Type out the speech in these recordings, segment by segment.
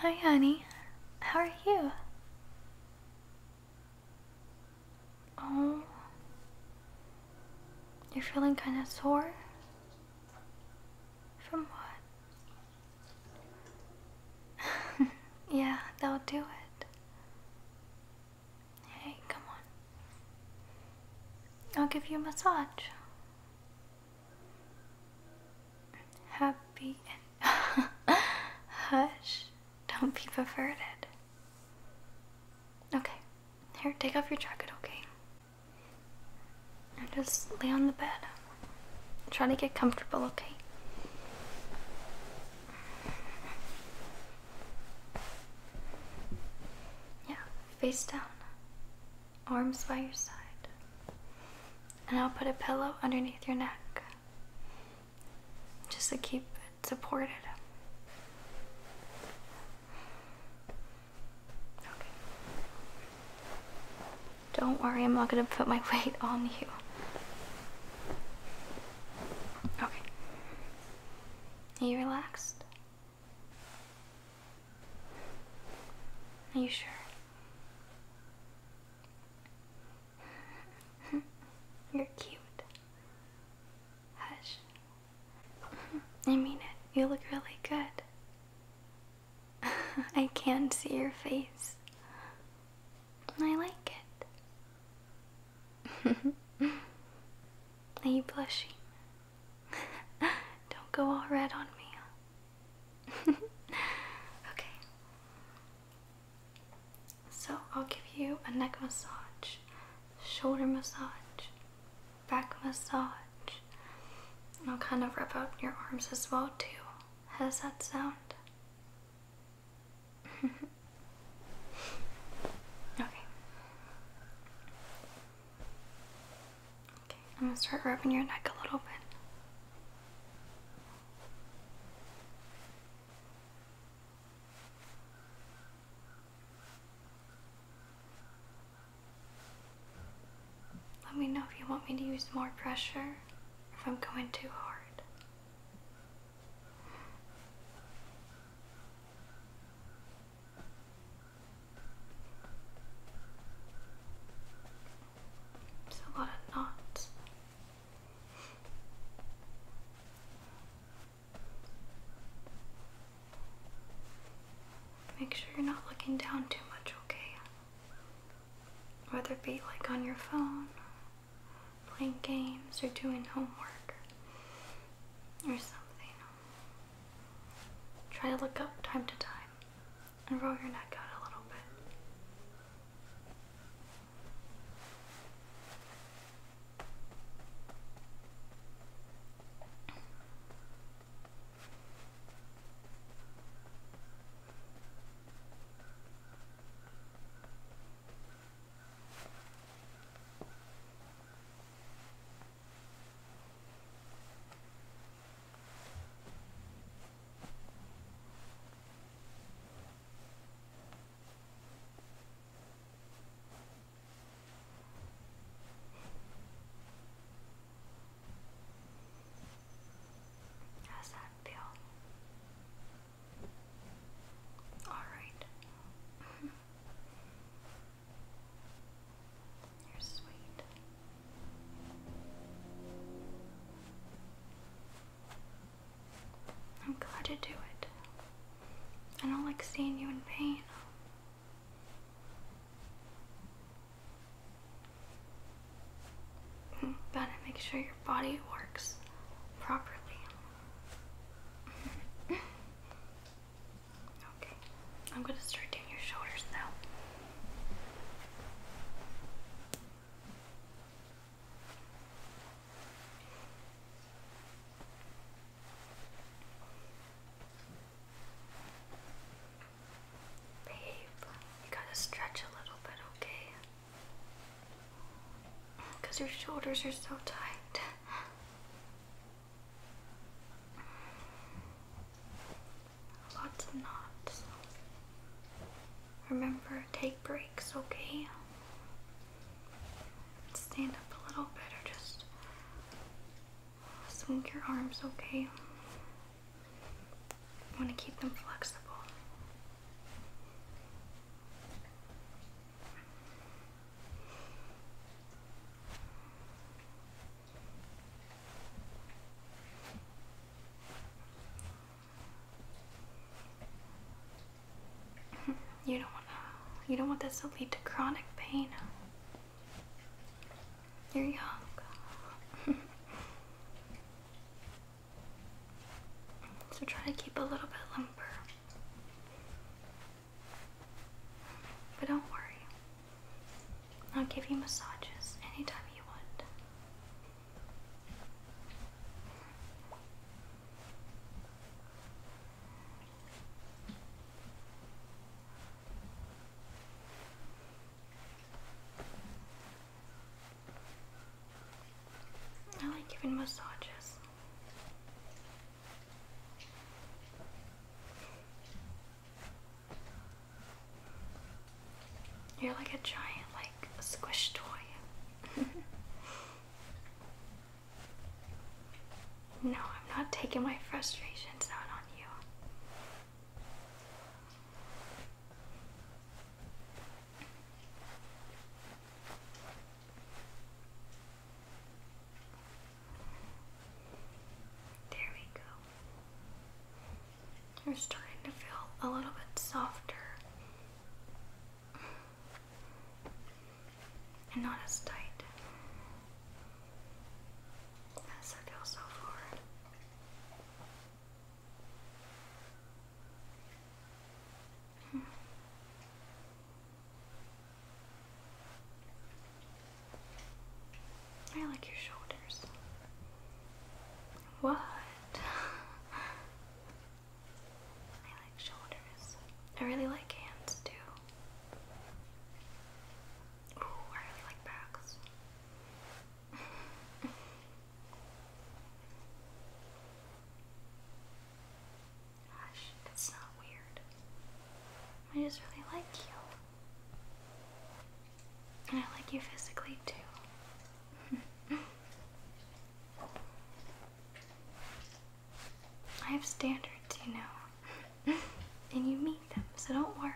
Hi, honey. How are you? Oh. You're feeling kind of sore? From what? yeah, that'll do it. Hey, come on. I'll give you a massage happy and hush, don't be perverted. Okay, here, take off your jacket, okay? And just lay on the bed. Try to get comfortable, okay? Yeah, face down arms by your side. And I'll put a pillow underneath your neck just to keep it supported. Okay. Don't worry, I'm not going to put my weight on you. Okay. Are you relaxed? Are you sure? You're cute. Hush. I mean it. You look really good. I can not see your face. and I like it. Are you blushing? Don't go all red on me. okay. So I'll give you a neck massage, shoulder massage, back massage. I'll kind of rub up your arms as well too. How does that sound? okay. I'm gonna start rubbing your neck a little bit. Let me know if you want me to use more pressure, if I'm going too hard. There's a lot Make sure you're not looking down too much, okay? Whether it be like on your phone, playing games, or doing homework, or something. Try to look up time to time and roll your neck out a little bit. How's that feel? All right. You're sweet. I'm glad to do it. I don't like seeing you in pain. Better make sure your body works properly. Okay, I'm going to start doing your shoulders now. Babe, you gotta stretch a little bit, okay? because your shoulders are so tight. Lots of knots. Remember, take breaks, okay? Stand up a little bit or just swing your arms, okay? want to keep them flexible. You don't want to, you don't want this to lead to chronic pain. You're young. so try to keep a little bit limber. But don't worry, I'll give you massages anytime you want. I like giving massages. You're like a giant, like a squish toy. no, I'm not taking my frustrations out on you. There we go. You're starting to feel a little bit softer and not as tight as I feel so far. Hmm. I like your shoulders. What? I like shoulders. I really like hands too. Ooh, I really like backs. Gosh, that's not weird. I just really like you. And I like you physically too. I have standards, you know. and you meet them, so don't worry.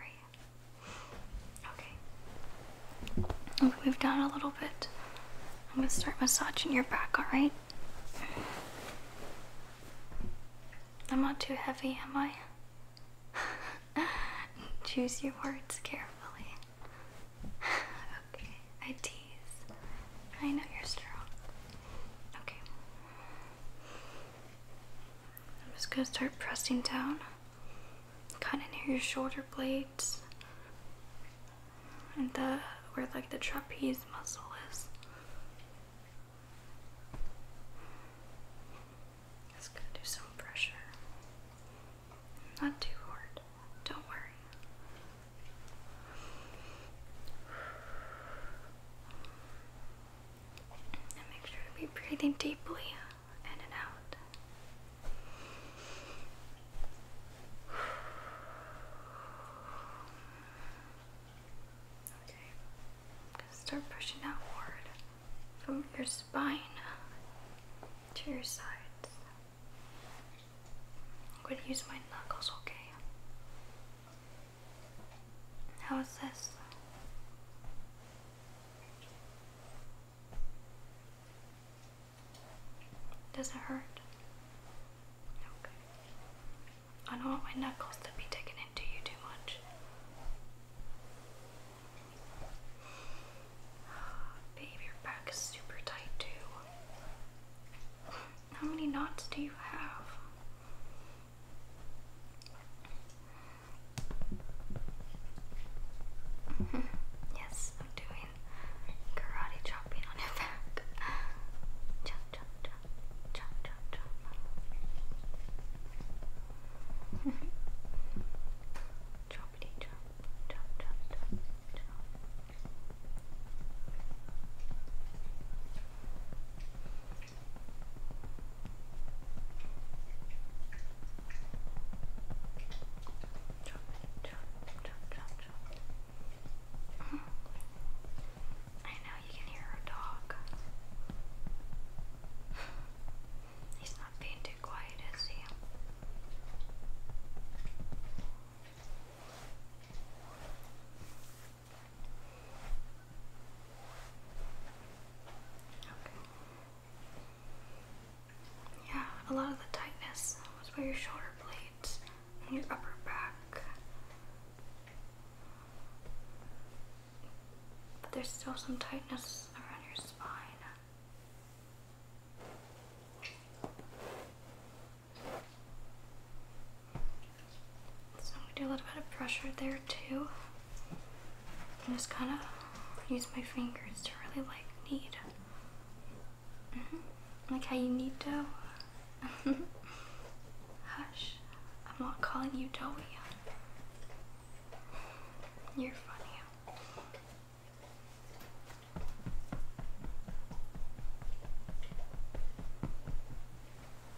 Okay. I'll move down a little bit. I'm gonna start massaging your back, alright? I'm not too heavy, am I? Choose your words carefully. okay, I tease. I know you're strong. Okay. I'm just gonna start pressing down, kind of near your shoulder blade and the where like the trapeze muscle is. Just gonna do some pressure. Not too hard. Don't worry. And make sure to be breathing deeply and out. Okay, start pushing outward from your spine to your sides. I'm gonna use my knuckles, okay? How is this? Does it hurt? Okay. I don't want my knuckles to be digging into you too much. Babe, your back is super tight too. How many knots do you have? yes, I'm doing karate chopping on your back. Chop, chop, chop, chop, chop, chop. Choppity chop, chop, chop, chop. Drop I know you can hear her dog. He's not being too quiet, is he? Yeah, a lot of the tightness was by your shoulder blades and your upper back. But there's still some tightness around your spine. So I'm gonna do a little bit of pressure there too. And just kind of use my fingers to really like knead. Mm-hmm. Like how you knead dough. Hush, I'm not calling you doughy. You're funny.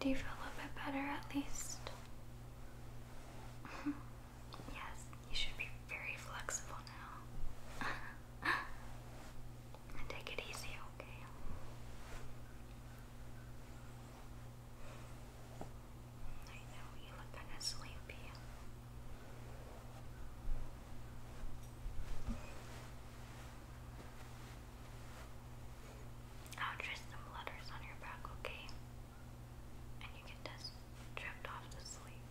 Do you feel a little bit better at least? Mm-hmm. yes, you should be very flexible now. take it easy, okay? I know you look kind of sleepy. I'll trace some letters on your back, okay? And you can just off to sleep.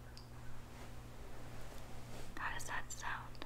How does that sound?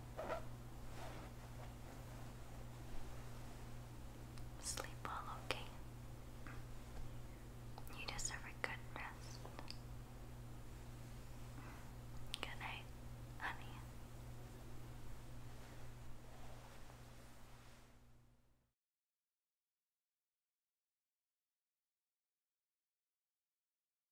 Sleep well, okay? You deserve a good rest. Good night, honey.